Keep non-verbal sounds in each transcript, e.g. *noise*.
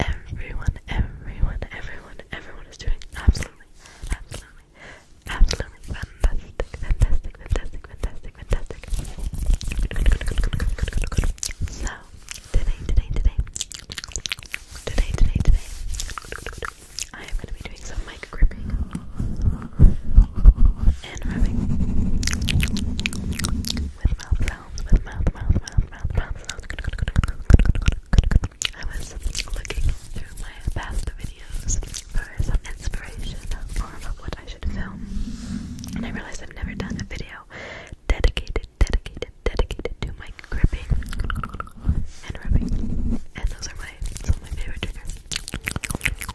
everyone, everyone, everyone, everyone is doing absolutely, absolutely, absolutely fantastic, fantastic, fantastic, fantastic, So, today, today, today, today, today, today, I am going to be doing some mic gripping and rubbing with mouth sounds, with mouth, mouth, mouth, mouth, mouth sounds. I was looking through my past videos for some inspiration for what I should film, and I realized I've never done a video dedicated, dedicated, dedicated to my gripping and rubbing. And those are my some of my favorite triggers.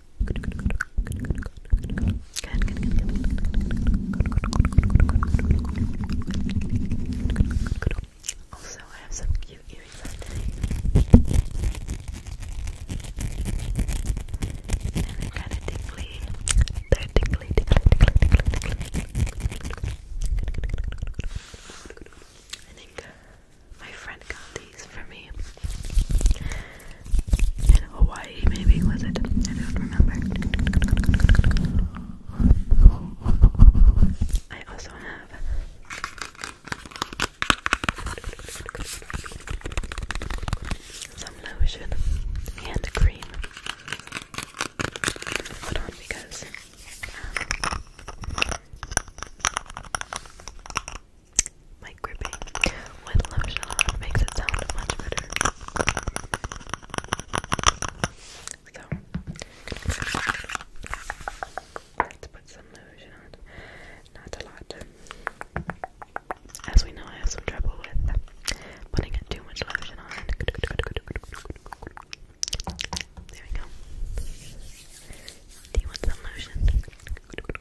Also, I have some cute earrings And they're kind of tingly. They're tingly, tingly, tingly, tingly, tingly. I think my friend got for me. In Hawaii, maybe, was it? I don't remember. I also have. Some lotion and cream. Hold on, because um, mic gripping with lotion on makes it sound much better. So, let's put some lotion on. Not a lot. As we know, I have some trouble with putting too much lotion on. There we go. Do you want some lotion? There we go.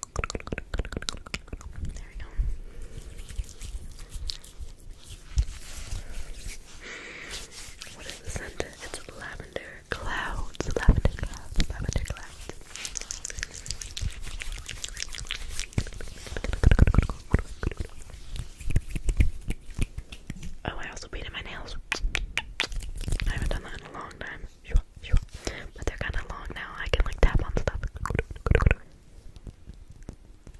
What is the scent? It's lavender clouds. Lavender cloud. Lavender clouds. Oh, I also painted my nails. I haven't done that in a long time. But they're kind of long now. I can like tap on stuff. *laughs*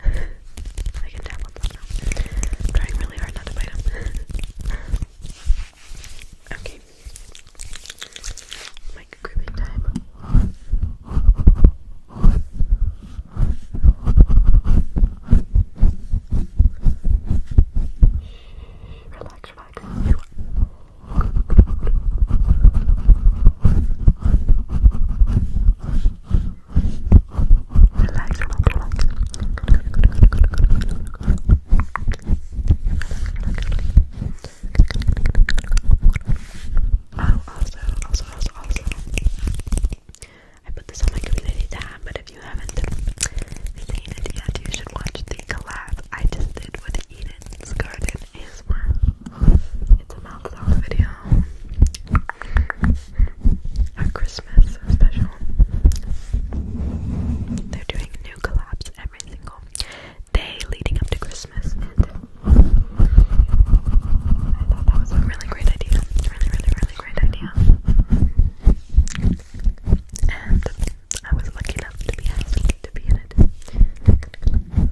I can tap on stuff now. trying really hard not to bite them. *laughs* okay. Like grouping time. Relax, relax relax, relax. Oh, also, also, also, also. I put this on my community tab, but if you haven't seen it yet, you should watch the collab I just did with Eden's Garden it's a mouth video. A Christmas special. They're doing new collabs every single day leading up to Christmas, I thought that was a really great idea. Really, really, really great idea. And I was lucky enough to be asked to be in it.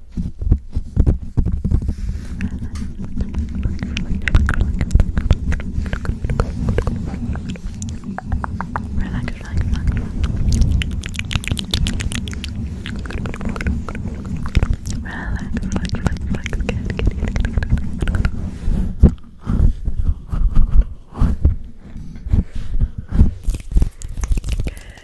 Relax, relax, relax, relax. Relax, relax, relax, Good, good, good, good, good. Good.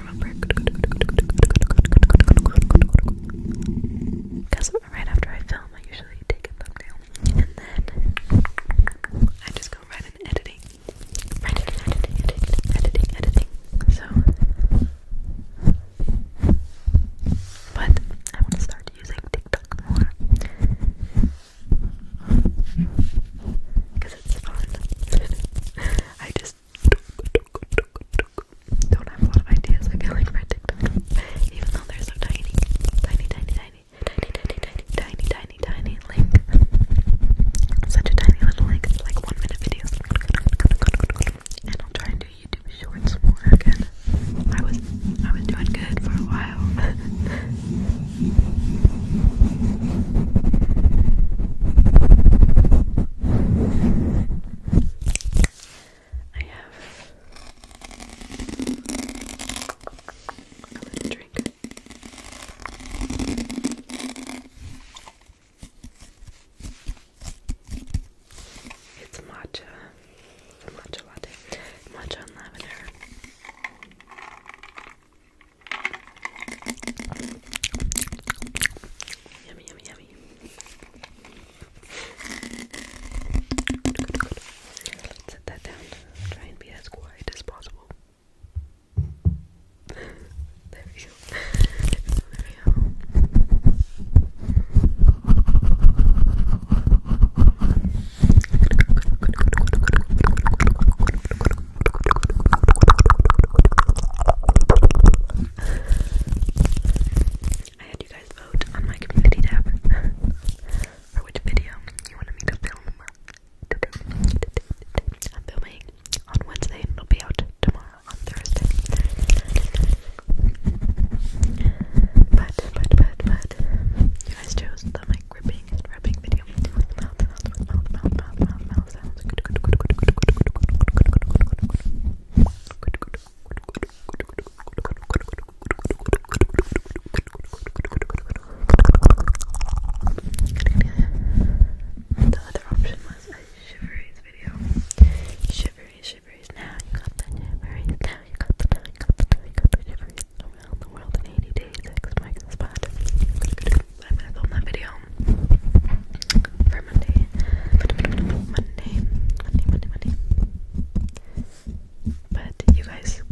Because right after I film, I usually take a thumbnail. And then I just go right in editing. Right in editing, editing, editing, editing. So. But I want to start using TikTok more. Because it's fun. *laughs* I just don't have a lot of ideas, I feel like, for Even though they're tiny. Tiny, tiny, tiny. Tiny, tiny, tiny, tiny, tiny, tiny link. Such a tiny little link. like one minute videos. And I'll try and do YouTube shorts more again. I was I was doing good for a while. I have a drink. It's matcha. matcha latte. Matcha lavender. Yummy, yummy, yummy yummy. Good, set that down. Try and be as quiet as possible. there we go. There we go. I had you guys vote on my community tab for which video you wanted me to film today. I'm filming on Wednesday and it'll be out tomorrow on Thursday. But, but, but, but, you guys chose the mic gripping and rubbing video. The other option was a shiveries video. Shiveries, shiveries. Now you got the shiveries. Now you got the you got the you got the shiveries around the world in 80 days. X marks the I'm that video Monday. Monday, Monday, Monday, Monday. But you guys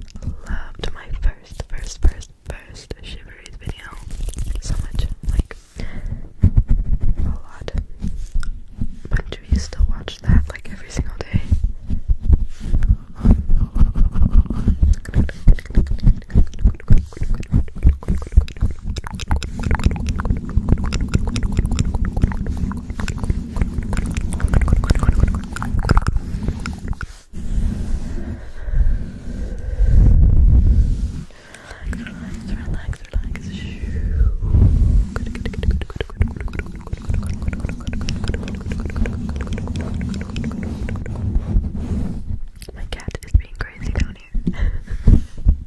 loved my first, first, first, first Shiveries video so much. Like, a lot. A bunch of you still watch that like every single day. Relax, relax, relax. Shoo. Good, good, good, good, good, good, good, good, good, good, my cat is being crazy down here. *laughs*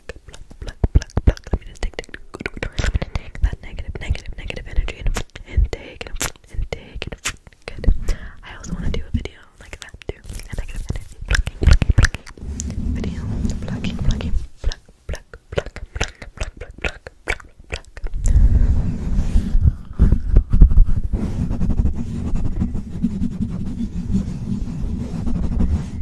Let me just take, take, let me take that negative, negative, negative energy and, and take it, and take it. I also want to do a video like that too. negative I also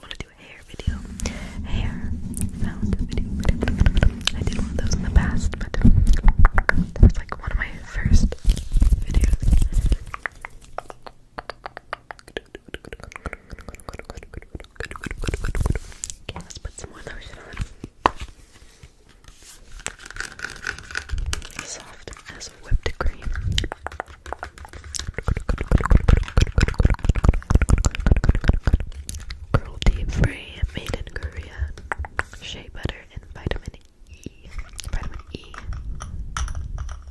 want to do a hair video. Hair I did one of those in the past, that was like one of my first videos. Okay, let's put some lotion on. Soft as whipped cream. Cruelty free, made in Korea. Shea butter and vitamin E. Vitamin E.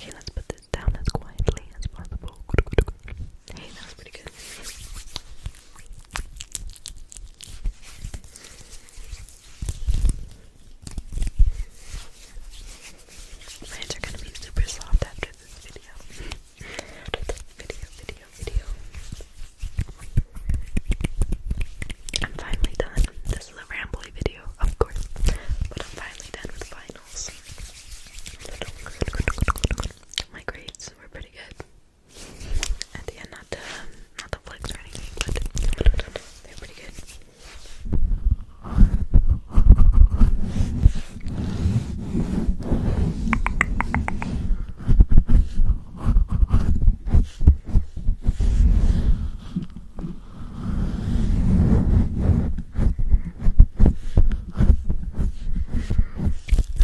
Okay, let's put this down as quietly as possible. Hey, that was pretty good. My hands are gonna be super soft after this video. after this video, video, video. I'm finally done. This is a rambly video, of course, but I'm finally done with finals. My grades were pretty good. At the end, not the not the flex or anything, but they were pretty good. I'm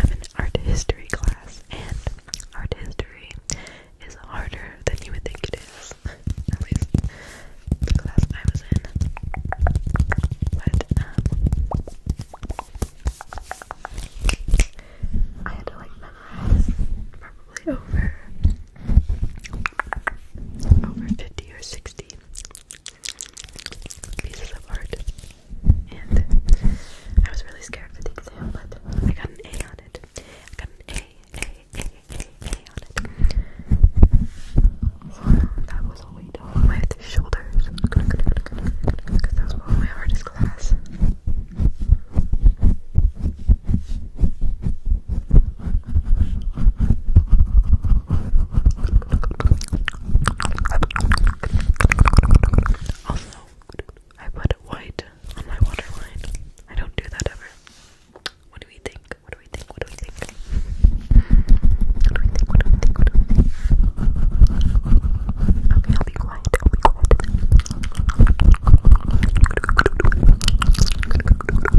in art history class, and art history is harder than you would think it is. At least the class I was in. But, um, I had to like memorize probably over over 50 or 60 pieces of art. And I was really scared for the exam, but I got an A on it. I got an A, A, A, A, A on it. So that was all we did. All my shoulders. Because that was one of my hardest class. Also, I put white on my waterline. I don't do that ever. What do we think? What do we think? What do we think? What do we think? What do we think?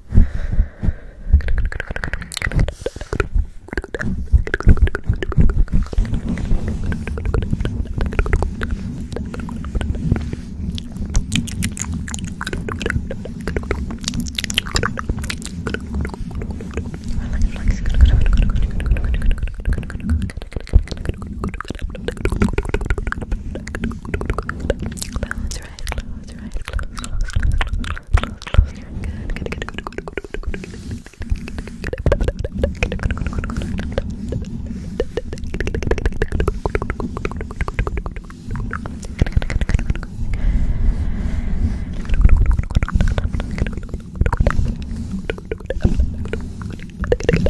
Balance your eyes, close your eyes, close, close, close, close, close, close your eyes. Good, good, good, good, good, good, good, good, good, good,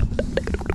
good, good, good,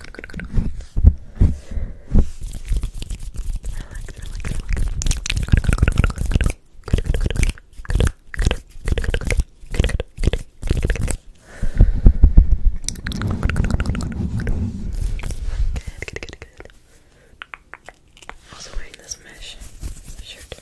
good, good, good. Relax, relax, relax. Good, good, good, good, good, good. Good, good, good, good. Good, good, good, good, good. Good, good, good, good, good. Good, good, good, good. Also wearing this mesh shirt.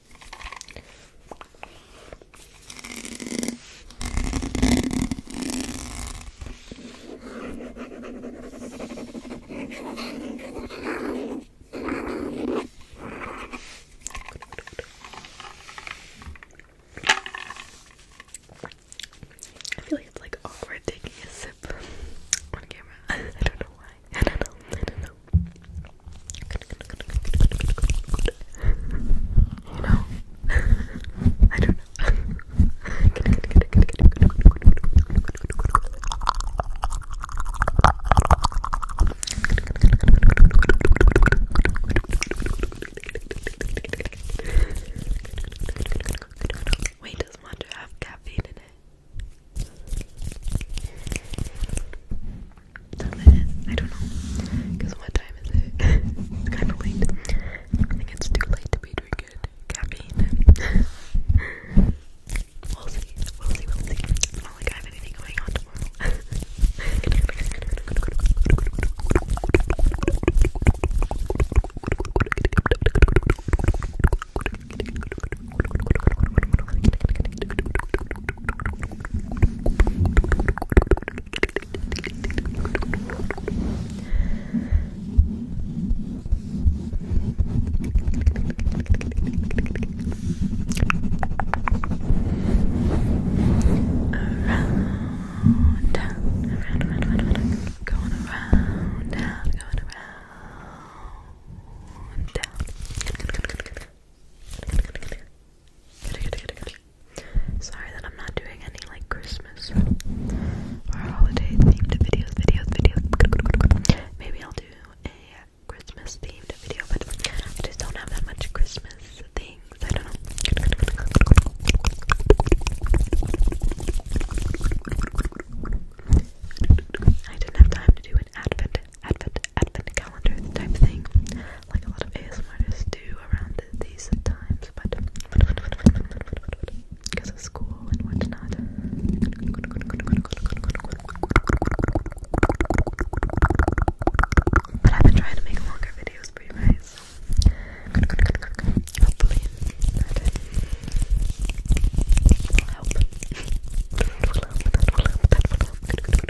I feel like it's like awkward taking a sip on camera. *laughs* I don't know why. I don't know. I don't know. You know? I don't know. Wait, does matcha have caffeine in it? Seven? I don't know. Because what time is it? *laughs* it's kind of late. I think it's too late to be drinking caffeine. *laughs* we'll see. We'll see. We'll see. not like I have anything going on tomorrow. *laughs* Around, down, around, around, around, around. Going around, down, going around, down. Good, good, good, good, good. Good, good, good, good, good. Sorry that I'm not doing any like Christmas or holiday themed videos, videos, videos. Maybe I'll do a Christmas themed video, but I just don't have that much Christmas things. I don't know. I didn't have time to do an advent, advent, advent calendar type thing like a lot of ASMRs do around these times, but because of school and whatnot. But I've been trying to make longer videos for you guys.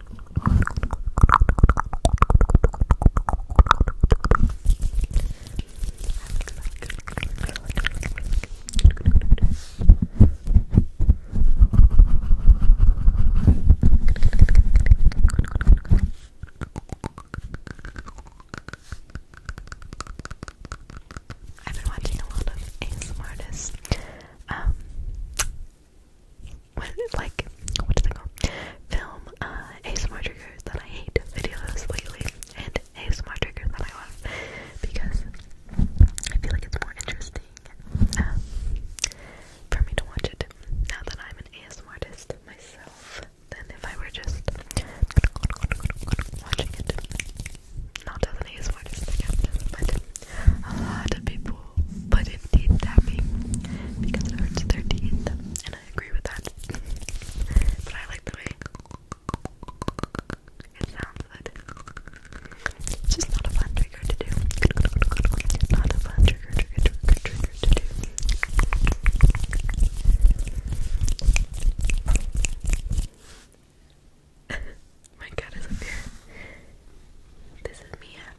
I've been watching a lot of ASMR artists. Um, *laughs* like what do they call film uh, ASMR triggers that I hate videos lately and ASMR triggers that I love because I feel like it's more interesting um, for me to watch it now that I'm an ASMR artist myself than if I were just watching it. Not as an ASMR artist, but a lot of people foot and teeth tapping because it hurts their teeth, and I agree with that. but I like the way it sounds It's just not a fun trigger to do. Not a fun trigger, trigger, trigger, trigger to do. *laughs* My cat is here. This is Mia.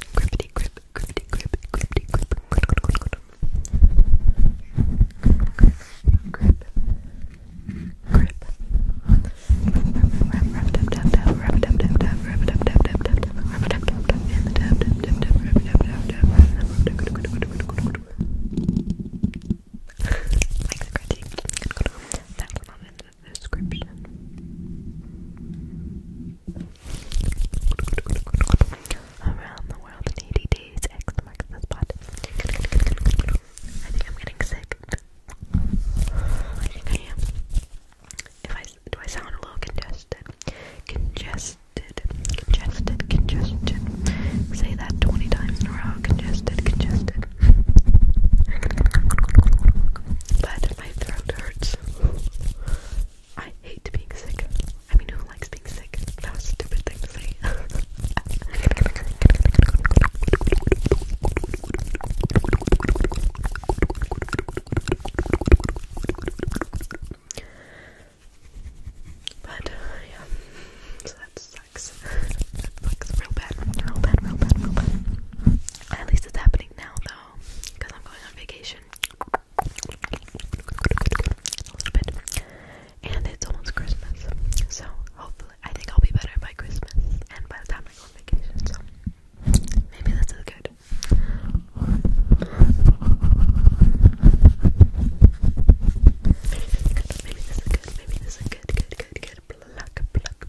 Grippity grip, grippity grip, grippity grip, grip, grip, grip. Like the crunchy. That's not it. Around the world in 80 days, X marks the spot. I think I'm getting sick. I think I am. do, I sound a little congested. Congested, congested, congested. Say that 20 times in a row. Congested, congested. But my throat hurts. I hate being sick. I mean, who likes being sick? That stupid thing But yeah, so that sucks. That sucks real bad, real bad, real bad. At least it's happening now, though because I'm going on vacation and it's almost Christmas. So hopefully, I think I'll be better by Christmas and by the time I go on vacation. So maybe this is good. Maybe this is good. Maybe this is good. good. Good. Good. Good. Pluck. Pluck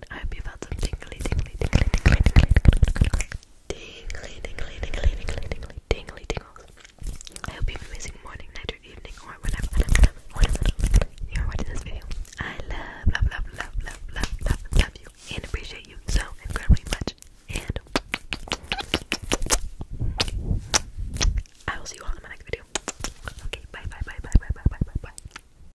good. I hope you felt some tingly, tingly, tingly, tingly, tingly, tingly, tingly, tingly, tingly, tingly, tingly, tingly, tingles. I hope you have an amazing morning, night, or evening, or whatever, whatever, whatever you're watching this video. I love, love, love, love, love, love, love, love you, and appreciate you so incredibly much. And I will see you all in my next video. Okay, bye, bye, bye, bye, bye, bye, bye, bye, bye.